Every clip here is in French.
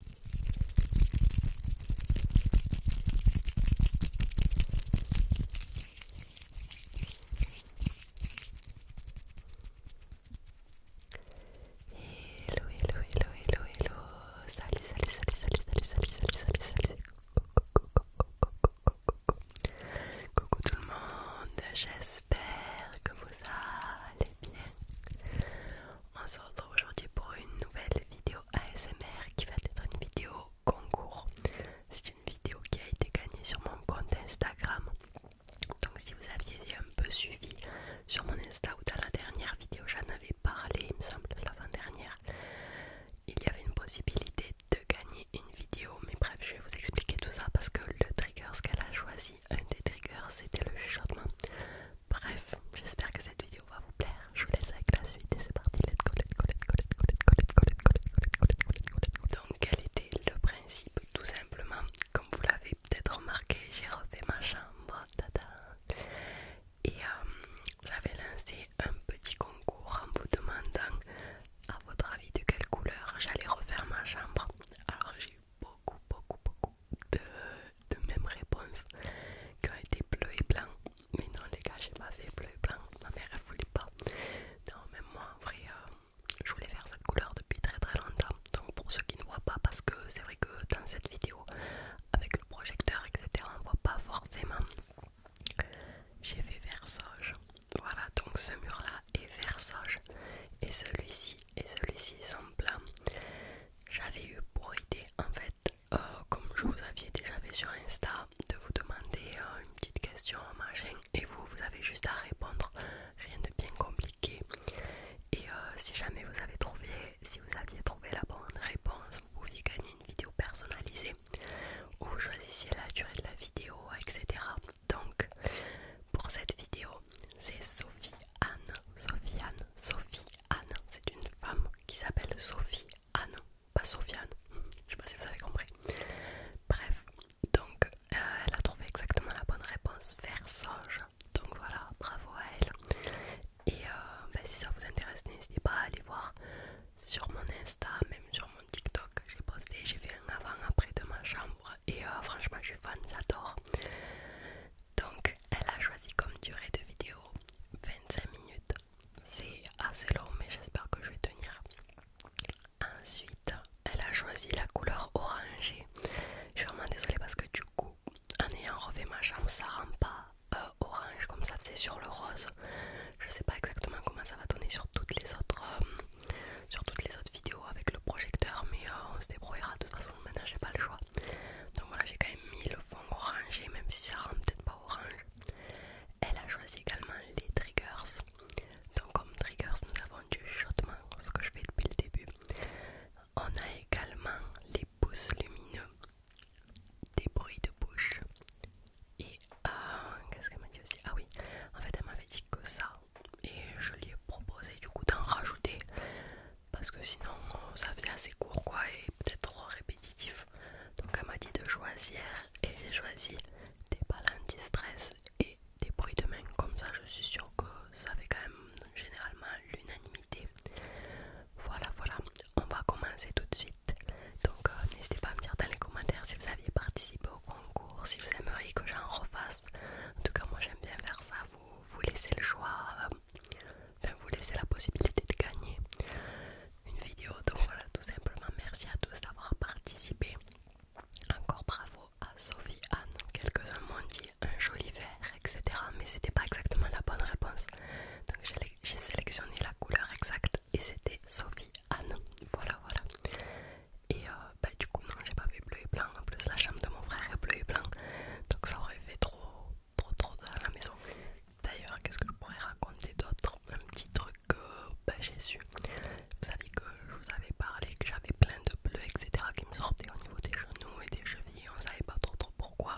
Hello, hello, Coucou tout le monde, j'espère que vous allez bien On se retrouve aujourd'hui pour une nouvelle vidéo ASMR qui va être une vidéo concours. C'est une vidéo qui a été gagnée sur mon compte Instagram. Donc si vous aviez un peu suivi sur mon Insta ou dans la dernière vidéo, j'en avais parlé, il me semble, l'avant-dernière, il y avait une possibilité de gagner une vidéo. Mais bref, je vais vous expliquer tout ça parce que le trigger, ce qu'elle a choisi, un des triggers, c'était le chuchotement. Bref, j'espère que cette vidéo va vous plaire. Je vous laisse avec la suite et c'est parti. Let's Donc quel était le principe Tout simplement, comme vous l'avez peut-être remarqué, j'ai refait ma chambre. Tada. Et j'avais lancé un petit concours en vous demandant à votre avis de quelle couleur j'allais refaire ma chambre. Alors j'ai eu beaucoup, beaucoup, beaucoup de, même réponse qui ont été bleu et blanc. Mais non, les gars, j'ai pas fait bleu et blanc. Ma mère elle voulait pas. Non, même moi en vrai, euh, je voulais faire cette couleur depuis très très longtemps. Donc, pour ceux qui ne voient pas, parce que c'est vrai que dans cette vidéo, avec le projecteur, etc., on voit pas forcément. J'ai fait versage. Voilà, donc ce mur là est versage. Et celui-ci et celui-ci sont blancs j'avais eu pour idée en fait, euh, comme je vous aviez déjà fait sur Insta, de vous demander euh, une petite question, chaîne et vous, vous avez juste à répondre, rien de bien compliqué. Et euh, si jamais vous avez trouvé, si vous aviez trouvé la bonne réponse, vous pouviez gagner une vidéo personnalisée où vous choisissiez la durée de la vidéo, etc. Donc, pour cette vidéo, c'est Sophie Anne, Sophie-Anne, Sophie-Anne. C'est une femme qui s'appelle Sophie-Anne, pas Sophie-Anne, Je sais pas si vous avez compris. Bref, donc euh, elle a trouvé exactement la bonne réponse, versage, Donc voilà, bravo à elle. Et euh, ben, si ça vous intéresse, n'hésitez pas à aller voir sur mon Insta, même sur mon TikTok. J'ai posté, j'ai fait un avant-après de ma chambre. Et euh, franchement, je suis fan, j'adore. Donc elle a choisi comme durée de vidéo 25 minutes. C'est assez long mais j'espère que je vais tenir. Ensuite, elle a choisi la couleur orangée. Je suis vraiment désolée parce que du coup, en ayant refait ma chambre, ça rend pas euh, orange comme ça faisait sur le rose. Je sais pas exactement comment ça va donner sur toutes les autres, euh, sur toutes les autres vidéos avec le projecteur, mais euh, on se débrouillera de toute façon. Maintenant, j'ai pas le choix. Donc voilà, j'ai quand même mis le fond orange même si ça rend peut-être pas orange. Elle a choisi également les triggers. Donc, comme triggers, nous avons du shotman, ce que je fais depuis le début. On a également les pouces lumineux, des bruits de bouche. Et euh, qu'est-ce qu'elle m'a dit aussi Ah oui, en fait, elle m'avait dit que ça. Et je lui ai proposé du coup d'en rajouter parce que sinon ça faisait assez court quoi et peut-être trop répétitif. Donc elle m'a dit de choisir et j'ai choisi des balles anti-stress et des bruits de main comme ça je suis sûre que ça fait quand même généralement l'unanimité. Voilà voilà, on va commencer tout de suite. Donc euh, n'hésitez pas à me dire dans les commentaires si vous aviez participé au concours, si vous aimeriez que j'en refasse. En tout cas moi j'aime bien faire ça, vous, vous laissez le choix. Euh, vous laissez la possibilité de gagner une vidéo. Donc voilà, tout simplement, merci à tous d'avoir participé. Encore bravo à Sophie, Anne, quelques-uns m'ont dit un joli vert, etc. Mais c'était pas exactement la bonne réponse. Donc j'ai sélectionné la couleur exacte et c'était Sophie, Anne. Voilà, voilà. Et euh, bah, du coup, non, j'ai pas fait bleu et blanc. En plus, la chambre de mon frère est bleu et blanc. Donc ça aurait fait trop trop trop à la maison. D'ailleurs, qu'est-ce que je pourrais raconter d'autre Un petit truc que euh, ben, j'ai su. Vous savez que je vous avais parlé que j'avais plein de bleus, etc. qui me sortaient au niveau des genoux et des chevilles. On savait pas trop trop pourquoi.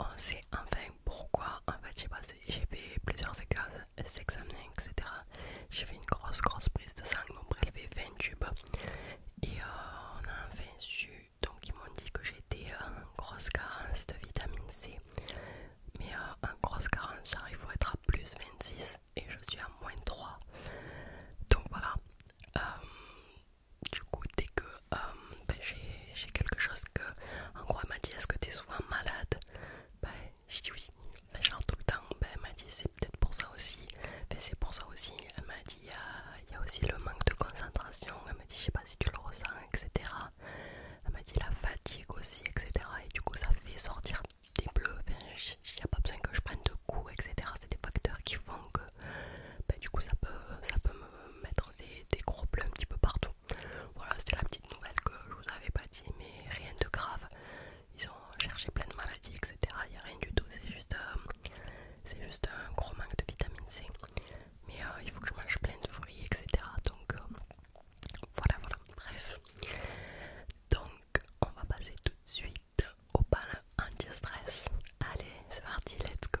On sait enfin pourquoi. En fait, j'ai passé, j'ai fait plusieurs examens, etc. J'ai fait une grosse grosse prise de sang, donc prélevé 20 tubes. Et euh, on a enfin su donc ils m'ont dit que j'étais en euh, grosse carence de vitamine C. Mais en euh, grosse carence, il faut être à plus 26 et je suis à moins 3. Donc voilà. Euh, du coup, dès que ben, j'ai quelque chose que... En gros, elle m'a dit, est-ce que tu es souvent malade ben, J'ai dit oui. Ben, genre tout le temps. Ben, elle m'a dit, c'est peut-être pour ça aussi. Ben, c'est pour ça aussi. Elle m'a dit, il y a aussi le manque de concentration. Elle m'a dit, je sais pas si tu le ressens, etc. Elle m'a dit la fatigue aussi, etc. Et du coup, ça fait sortir des bleus. Il n'y a pas besoin que je prenne de coups, etc. C'est des facteurs qui font que bah, du coup, ça peut, ça peut me mettre des, gros bleus un petit peu partout. Voilà, c'était la petite nouvelle que je vous avais pas dit, mais rien de grave. Ils ont cherché plein de maladies, etc. Il n'y a rien du tout, c'est juste, euh, juste un gros manque de vitamine C mais euh, il faut que je mange plein de fruits, etc. Donc euh, voilà, voilà, bref. Donc on va passer tout de suite au palin anti-stress. Allez, c'est parti, let's go.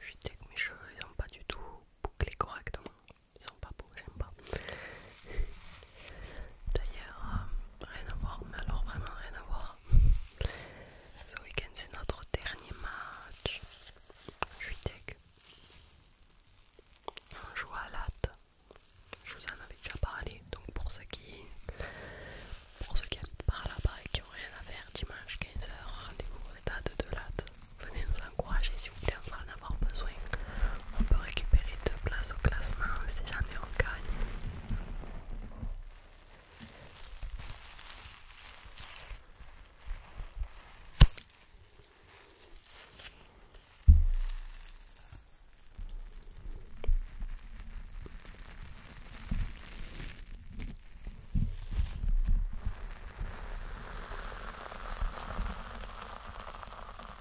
Je que mes cheveux ils pas du tout bouclés correctement. Ils sont pas beaux, j'aime pas. D'ailleurs, euh, rien à voir, mais alors vraiment rien à voir. Ce week-end, c'est notre dernier match. Je suis tech. On joue à latte. Je vous en avais déjà parlé, donc pour ceux qui pour ceux qui par là-bas et qui ont rien à faire dimanche 15h, rendez-vous au stade de Latte. Venez nous encourager si vous voulez en besoin. On peut récupérer deux places au classement si jamais on gagne.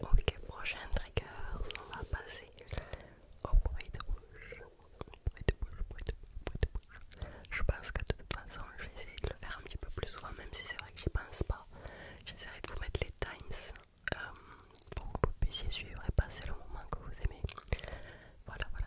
Ok, prochain trigger, on va passer au bruit de rouge. Je pense que de toute façon, je vais essayer de le faire un petit peu plus souvent, même si c'est vrai que j'y pense pas. J'essaierai de vous mettre les times euh, pour que vous puissiez suivre et passer le moment que vous aimez. Voilà, voilà.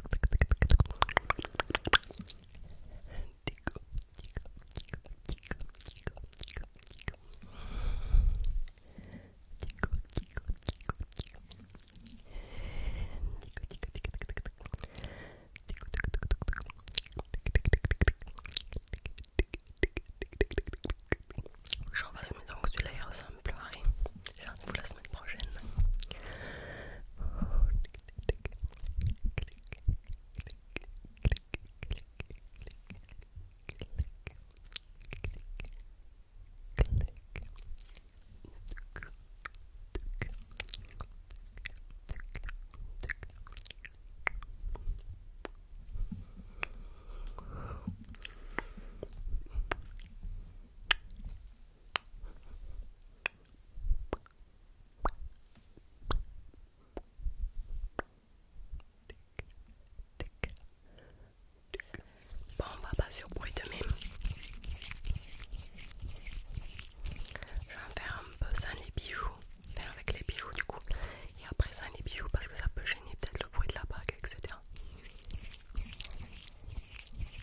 J'en passe mes ongles, celui-là click pleurer. click vous la semaine prochaine. Bon, on va passer au bruit de même Je vais en faire un peu sans les bijoux, faire avec les bijoux du coup, et après sans les bijoux parce que ça peut gêner peut-être le bruit de la bague, etc.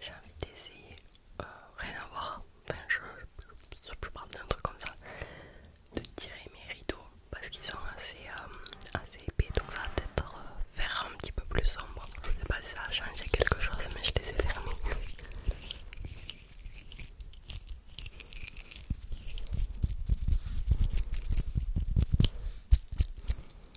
j'ai envie d'essayer euh, rien à voir enfin je, je, plus parle d'un truc comme ça de tirer mes rideaux parce qu'ils sont assez, euh, épais donc ça va peut-être euh, faire un petit peu plus sombre je sais pas si ça a changé quelque chose mais je les ai fermés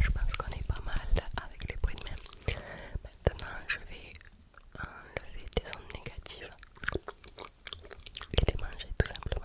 Je pense qu'on est pas mal avec les bruits de même. Maintenant, je vais enlever des ondes négatives et manger tout simplement.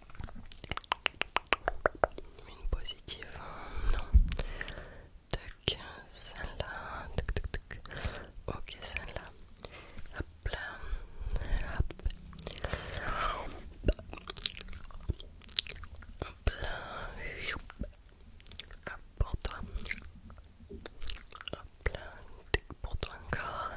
Une positive, hein. non. Tac, celle-là. Ok, celle-là. Hop là. Hop. Hop là. Hop pour toi. Hop là. pour toi encore.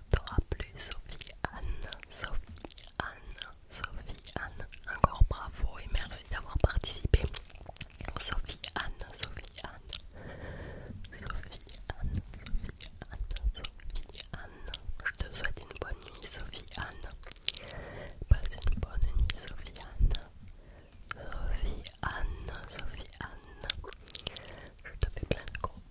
t'auras plu Sophie Anne, Sophie Anne, Sophie Anne. Encore bravo et merci d'avoir participé. Sophie Anne, Sophie Anne. Sophie Anne, Sophie Anne, Sophie Anne. Je te souhaite une bonne nuit Sophie Anne. Passe une bonne nuit Sophie Anne. Sophie Anne, Sophie Anne. Je te fais plein de gros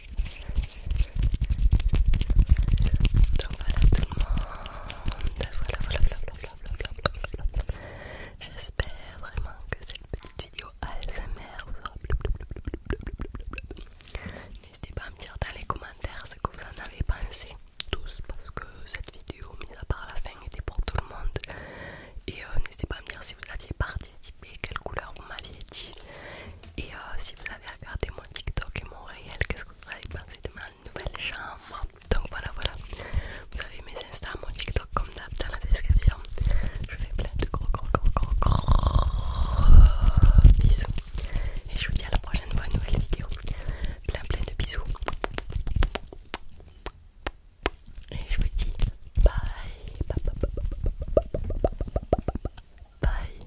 Donc voilà tout le monde, voilà voilà J'espère vraiment que cette petite vidéo ASMR vous aura plu N'hésitez pas à me dire dans les commentaires ce que vous en avez pensé tous parce que cette vidéo mise à part la fin était pour tout le monde et n'hésitez pas à me dire si vous aviez participé, quelle couleur vous m'aviez dit et euh, si vous avez regardé mon TikTok et mon réel, qu'est-ce que avec moi, c'est ma nouvelle chambre. Donc voilà, voilà. Vous avez mes Insta, mon TikTok comme d'hab dans la description. Je fais plein de gros, gros, gros, gros, gros bisous. Et je vous dis à la prochaine pour une nouvelle vidéo. Plein, plein de bisous. Et je vous dis bye, bye.